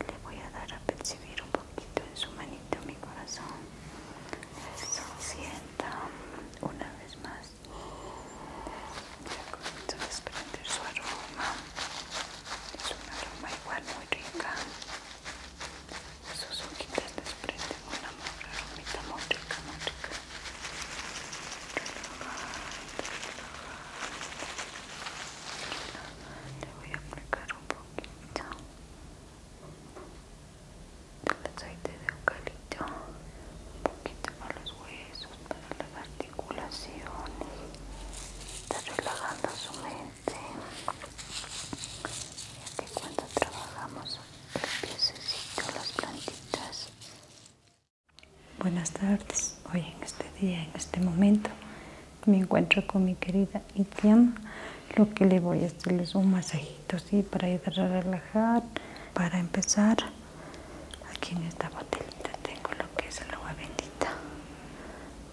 Le voy a dar a percibir un poquito en su manito mi corazón. Eso, sienta una vez más. Ya comienzo a desprender su aroma. Es un aroma igual muy rica. Sus hojitas desprenden una aromita muy rica, muy rica le voy a aplicar un poquito el aceite de eucalipto un poquito para los huesos para las articulaciones está relajando su mente ya que cuando trabajamos necesito las plantitas buenas tardes hoy en este día en este momento me encuentro con mi querida Itiam lo que le voy a hacer es un masajito sí para ayudar a relajar para empezar aquí en esta botellita tengo lo que es el agua bendita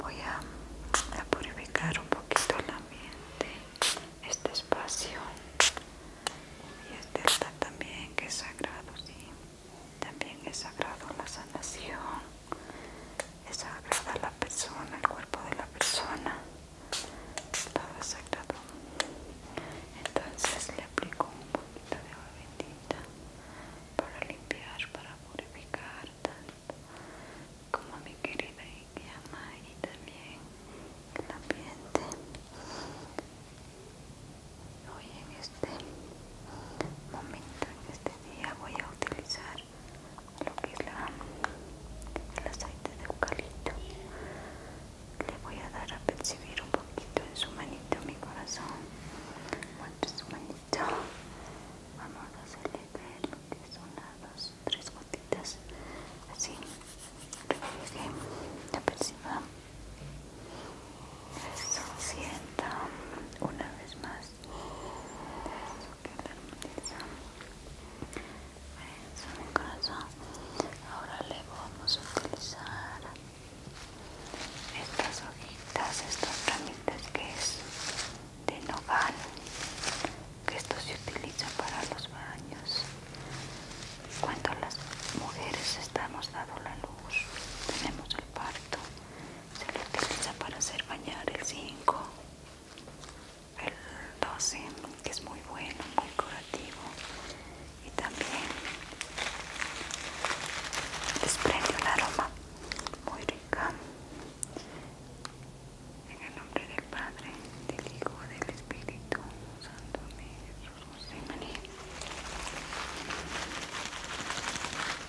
voy a, purificar un poquito el ambiente este espacio y este está también que es sagrado sí también es sagrado la sanación, es sagrada la persona, el cuerpo de la persona, todo es sagrado. Entonces le aplico un poquito de agua bendita para limpiar, para purificar tanto como mi querida y también el ambiente. Hoy en este momento, en este día, voy a utilizar lo que es la, el aceite de eucalipto. Le voy a dar a percibir un poquito en su manito, mi corazón. es su manito. Vamos a hacerle ver lo que es una, dos, tres gotitas. Así. que la perciba. Eso sienta una vez más ahora le vamos a utilizar estas hojitas estos ramitas que es de nogal que esto se utiliza para los baños cuando las mujeres estamos dando la luz tenemos el parto se utiliza para hacer bañar el 5 el 12 que es muy bueno muy curativo y también desprende un aroma muy rica en el nombre del Padre, del Hijo, del Espíritu Santo, Amén.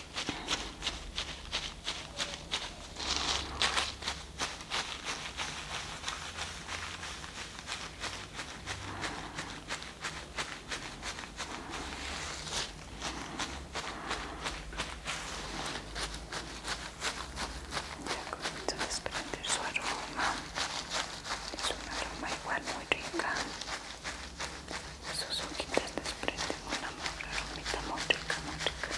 Ya comienzo a desprender su aroma. Es un aroma igual muy rica. Sus hojitas desprenden una un muy rica, muy rica.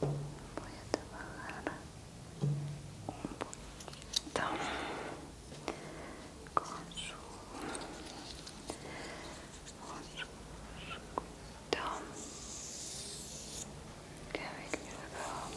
voy a trabajar un poquito con su con su voy a trabajar con su cabecita su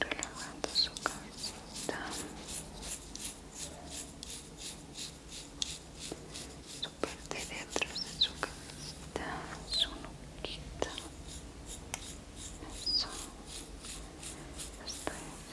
relajando su cabecita su parte de atrás de su cabecita su nuquita eso hasta Bien.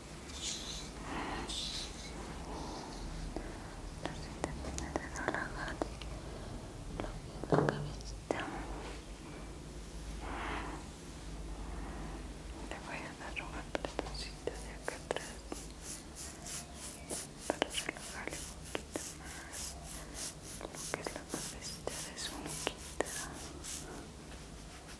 de relajar, la cabeza. Le voy a dar una apretoncita de acá atrás para relajarle un poquito más lo que es la cabeza de su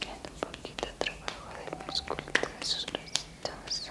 Queda un poquito de trabajo de musculatura de sus bracitos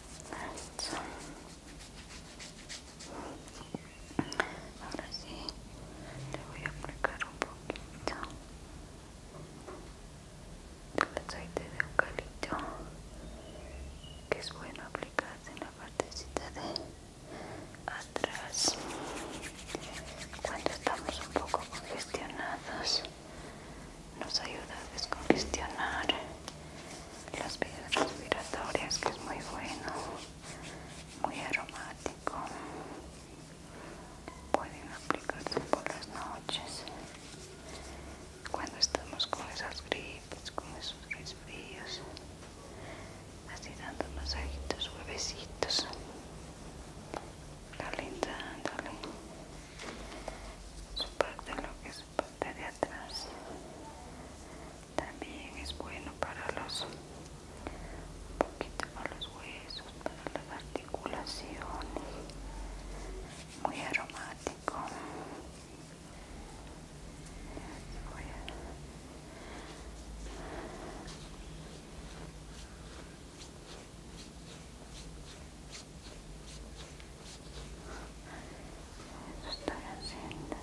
Ahora sí, le voy a aplicar un poquito de aceite de eucalipto, que es bueno aplicar en la partecita de atrás cuando estamos un poco congestionados nos ayuda a descongestionar las vías respiratorias que es muy bueno muy aromático pueden aplicarse por las noches cuando estamos con esas gripes con esos resfrios, así dando masajitos huevecitos, calentándolos su parte lo que es parte de atrás también es bueno para los un poquito para los huesos para las articulaciones muy aromático eso estoy haciendo. Eso.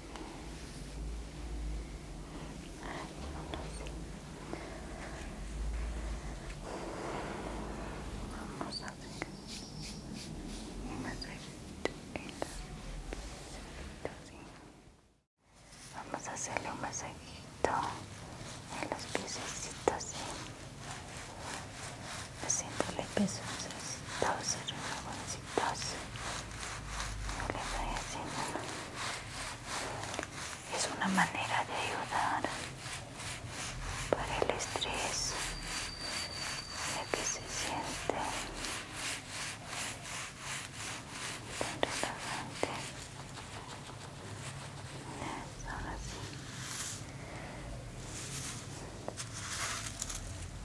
Vamos a hacerle un masajito en los pieces. Vamos a hacerle un masajito en los pieces. Preséntale que es un masajito. Entonces, lo que estoy haciendo es una manera de ayudar para el estrés para que se siente tan relajante ahora sí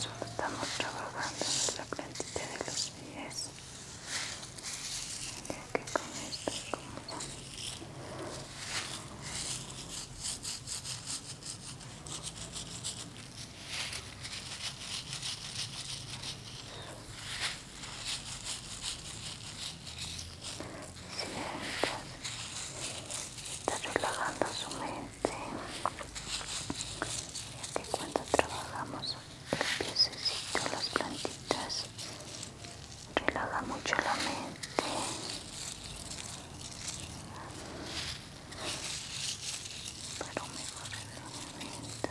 Solo estamos trabajando en la plantilla de los pies. Ya que con esto es como Suave está relajando su mente ya que cuando trabajamos los piececitos, las plantitas relaja mucho la mente mejor mejor relajamiento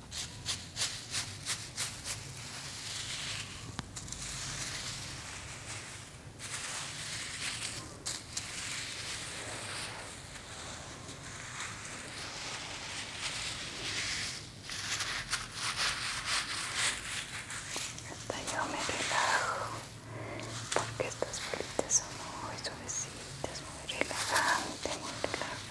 Hasta yo me relajo porque estas bolitas son muy suavecitas, muy relajantes, muy relajantes.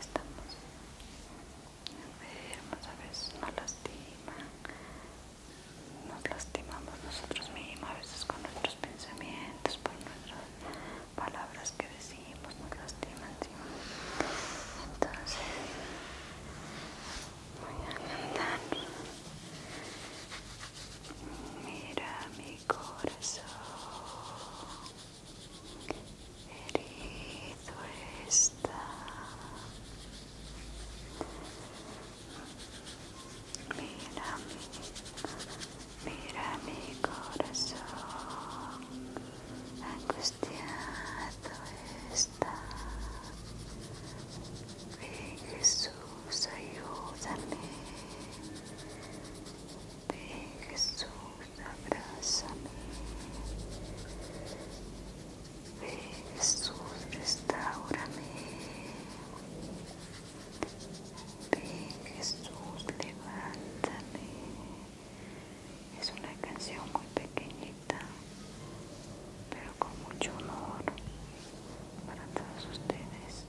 estamos enfermos, a veces nos lastiman, nos lastimamos nosotros mismos, a veces con nuestros pensamientos, por nuestras palabras que decimos, nos lastiman. Entonces, voy a andar Mira mi corazón, herido está. Mira mi, mira mi corazón, angustiado está. Ven Jesús, ayúdame de Jesús, abrázame. Ve Jesús, restaurame. Ven Jesús, levántame. Es una canción muy pequeñita, pero con mucho honor para todos ustedes.